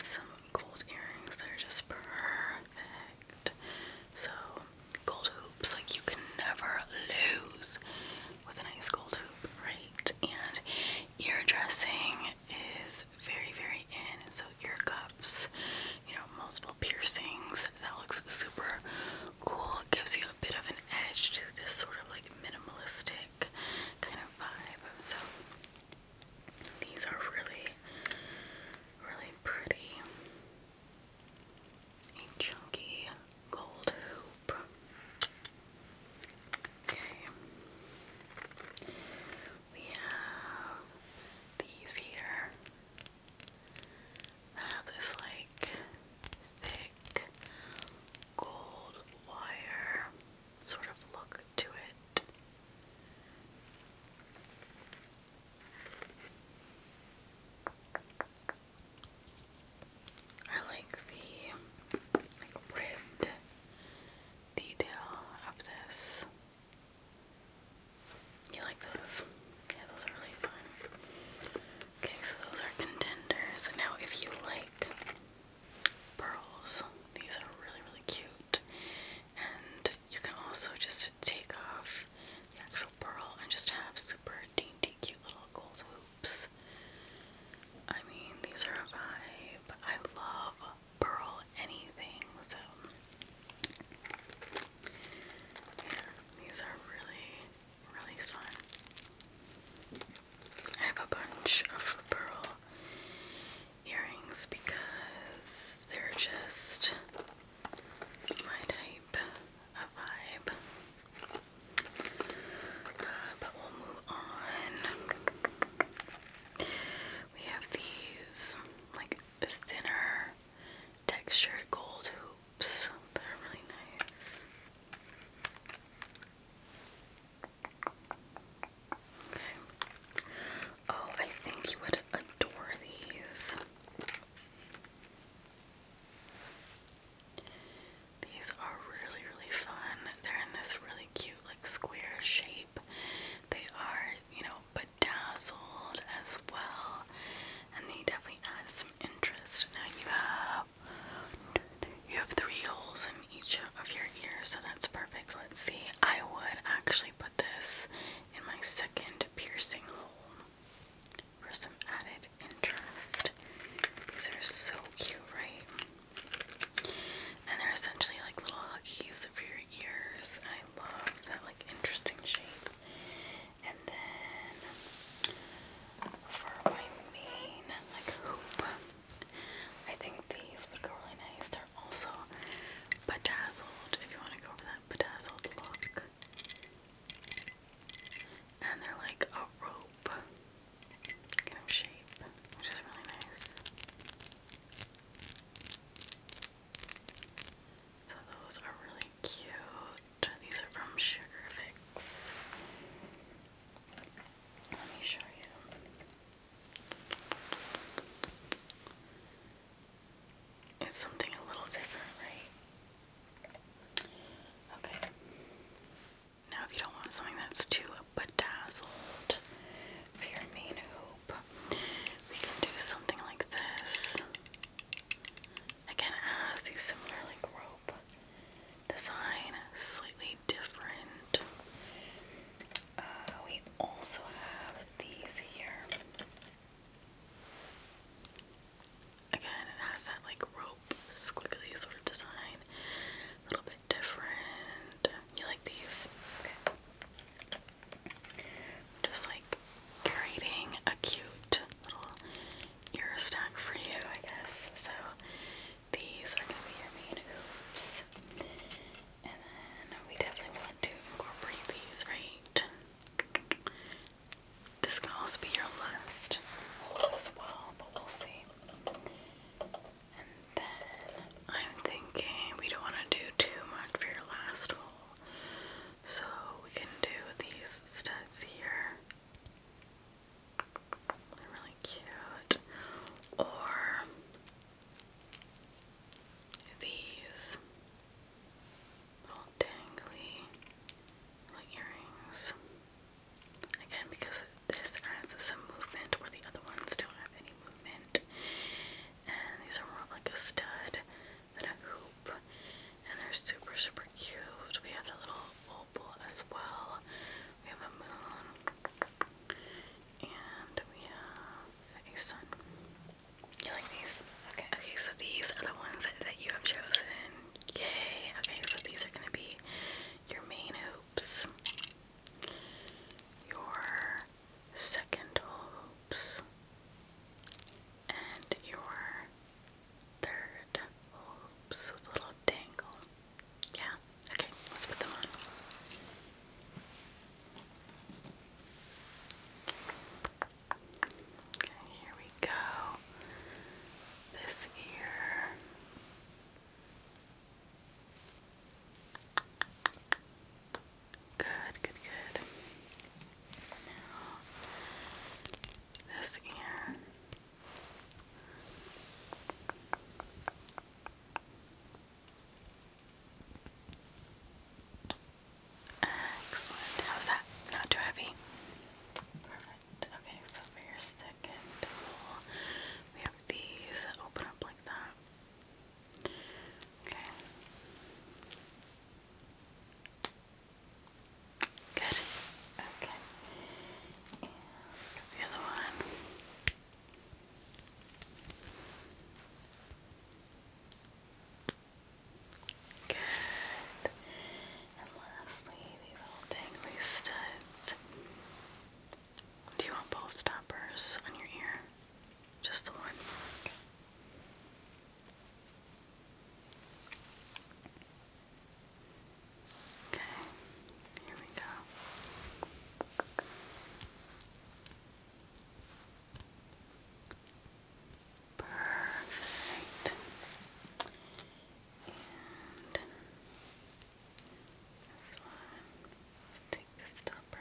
some gold earrings that are just perfect. So gold hoops, like you can never lose with a nice gold hoop, right? And ear dressing is very, very in so ear cups, you know, multiple piercings. That looks super cool. It gives you a bit of an edge to this sort of like minimalistic kind of vibe. So these are really, really pretty. A chunky gold hoop. Okay. We have these here have this like thick gold wire sort of look to it. I like the like ribbed detail of this. You like those? Yeah, those are really fun. Okay, so those are contenders. now, if you like pearls, these are really, really cute. And you can also just take off the actual pearl and just have super dainty, cute little gold hoops. I mean, these are a vibe. I love pearl anything, so these are really, really fun. I have a bunch of pearl earrings because they're just my type of vibe. Uh, but we'll move on. We have these like thinner textured gold hoops. They're really nice. Okay. Oh, I think you would adore these. These are really, really fun. They're in this really cute, like, square shape. They are, you know, bedazzled as well, and they definitely add some interest. Now you have you have three holes in each of your ears, so that's perfect. let's see. I would actually put this in my second piercing hole for some added interest. These are so cute, right? And they're essentially like little huggies for your ears love that like interesting shape. And then for my main like hoop, I think these would go really nice. They're also bedazzled if you want to go for that bedazzled look. And they're like a rope shape, which is really nice. So those are really cute. These are from Sugar Let me show you. It's something a little different, right? Okay. Now, if you don't want something that's too bedazzled for your main we can do something like this. Again, has these similar like rope design, slightly different. Uh, we also have these here. Again, it has that like rope squiggly sort of design. A little bit different. You like these? Okay. Just like creating a cute little ear stack for you, I guess. So these are going to be your main hoops. And then we definitely want to incorporate these, right? This can also be your last hole as well, but we'll see. And then I'm thinking we don't want to do too much for your last hole. So we can do these studs here. They're really cute. Or these little dangly earrings. Again, because this adds some movement where the other ones don't have any movement. And these are more like a stud and a hoop, and they're super, super cute. We have the little opal as well. We have a moon, and we have a sun. You like these? Okay. Okay, so these are the ones that you have chosen. Yay! Okay, so these are gonna be your main hoops, your second hopes and your third hopes with little dangle. Yeah, okay, let's put them on. Okay, here we go. This ear. Good, good, good. Now, this ear. Excellent. How's that? Not too heavy? Perfect. Okay, so for your second hole, we have these open up like that. Okay. Good. Okay. the other one. Good. And lastly, these little dangly studs. Do you want both stoppers on your ear? Just the one. Okay, here we go. Perfect. And this one, let's take the stopper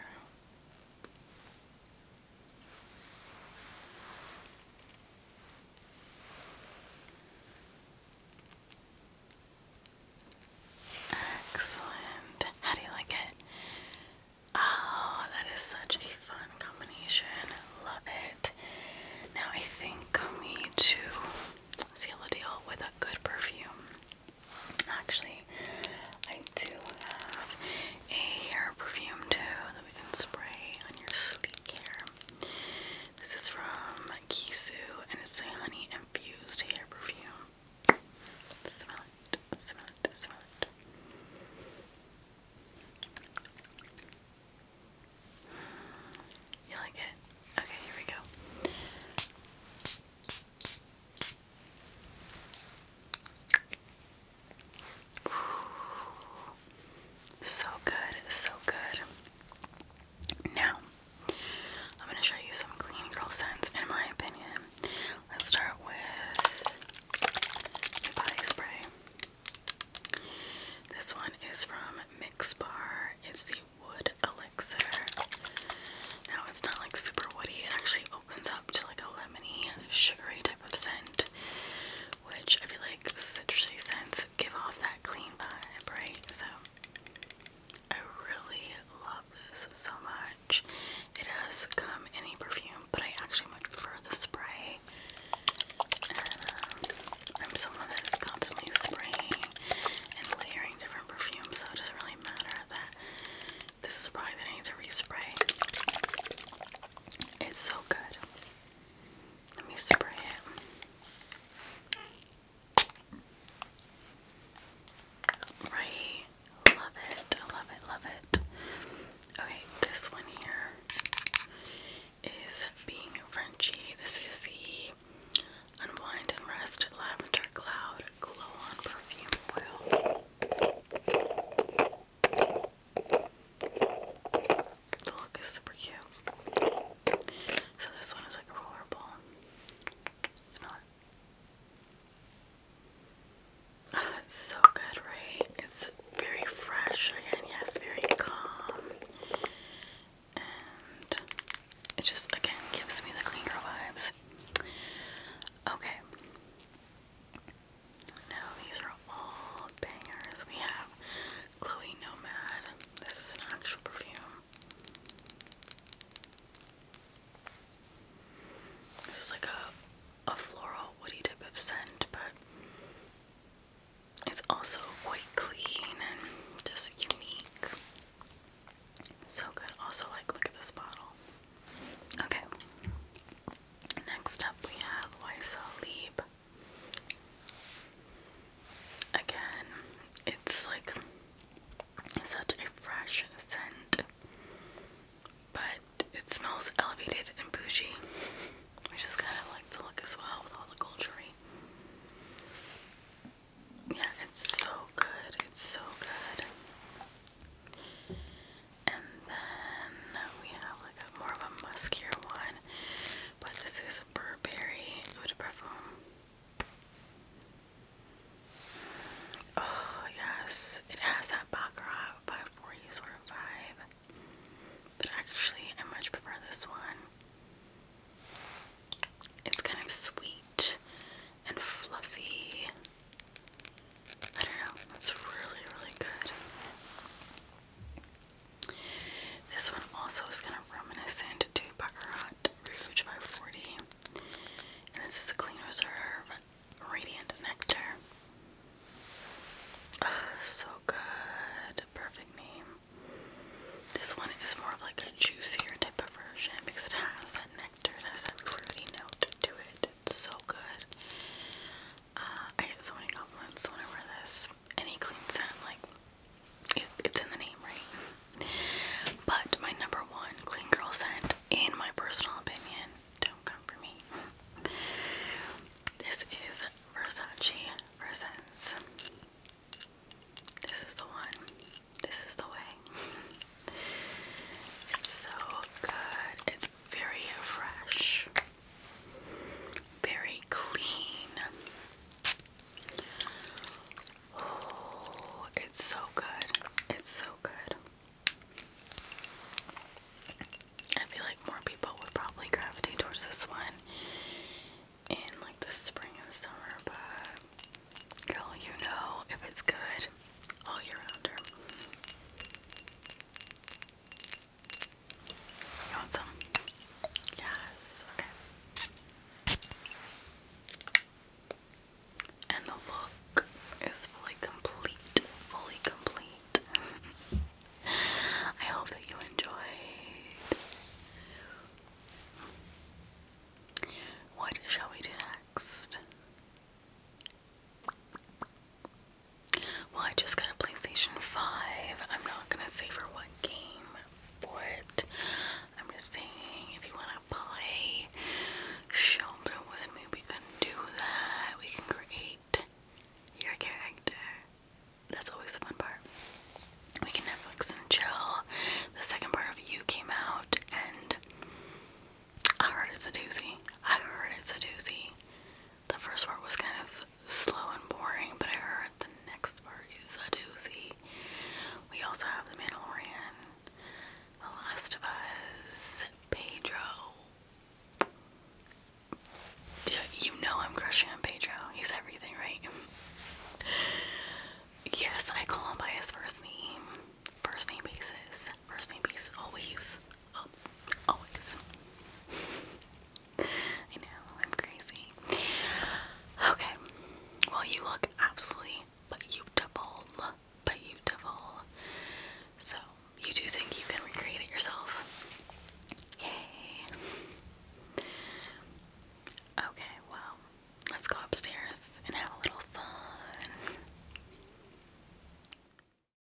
Excellent. How do you like it? Oh, that is such a fun combination. Love it. Now I think we need to seal the deal with a good perfume. Actually, I do have a hair perfume too that we can spray on your sleek hair. This is from Kisu and it's a honey infused hair perfume. Smell it, smell it, smell it. You like it? Okay, here we go. So good, so good. Now, I'm going to show you some clean girl scents, in my opinion. Let's start with the body spray. This one is from Mix Bar. It's the Wood Elixir. Now, it's not like super woody, it actually opens up to like a lemony, sugary of scent, which I feel like citrusy scents give off that clean vibe, right? So I really love this so much. It does come in a perfume, but I actually much prefer the spray. Um, I'm someone that is constantly spraying and layering different perfumes, so it doesn't really matter that this is a product that I need to respray. It's so good. Let me spray it. Right. Love it. Love it. Love it. Okay, this one here is Being Frenchy. This is the Unwind and Rest Lavender Cloud Glow On Perfume Oil. The look is super cute. So this one is like a Smell it. Oh, it's so good, right? It's very fresh again, yes, very calm. And it just again gives me the cleaner vibes. Okay. Now these are all bangers. We have Chloe Nomad. This is an actual perfume. This is like a a floral woody type of scent, but it's also quite clean and just unique. So good. Also, like, look at this bottle. Okay. Next up, we have Weissel Again, it's like such a fresh scent, but it smells elevated and bougie, which is kind of like the look as well with all the culture. Yeah, it's so good. It's so good. And then we have like a more of a muskier one, but this is a Burberry Eau de Parfum. Oh yes, it has that Baccarat 540 sort of vibe, but actually I much prefer this one. It's kind of sweet and fluffy I don't know. That's really, really good. This one also is kind of reminiscent to Baccarat Rouge by 40. And this is the Clean Reserve Radiant Nectar. Ah, so good. Perfect name. This one is more of like a juicier type of version because it has that nectar, it has that fruity note to it. It's so good. Uh, I get so many compliments when I wear this. Any clean scent, like, it's in the name, right? But my number one clean girl scent, in my personal opinion, don't come for me. This is Versace Versens. This is the one. This is the way. It's so good. It's very fresh. Very clean. Oh, it's so good. It's so good. I feel like more people would probably gravitate towards this one in like the spring and summer, but girl, you know if it's good all year round. You want some? Yes, okay. And the look is fully complete, fully complete. I hope that you enjoyed. What shall we do next? Well, I just got a PlayStation 5. I'm not gonna say for what game for it. I'm just saying if you wanna play Shelter with me, we can do that. We can create your character. That's always the fun part. We can Netflix and chill. The second part of you came out and I heard it's a doozy. I heard it's a doozy. The first part was kind of slow and boring, but I heard the next part is a doozy. We also have The Mandalorian, The Last of Us, Pedro. You know I'm crushing on Pedro. He's everything, right? Yes, I call him by his first name. First name basis. First name basis always up always. I know, I'm crazy. Okay. Well, you look absolutely beautiful. Beautiful. So, you do think you can recreate it yourself? Yay. Okay, well, let's go upstairs and have a little fun.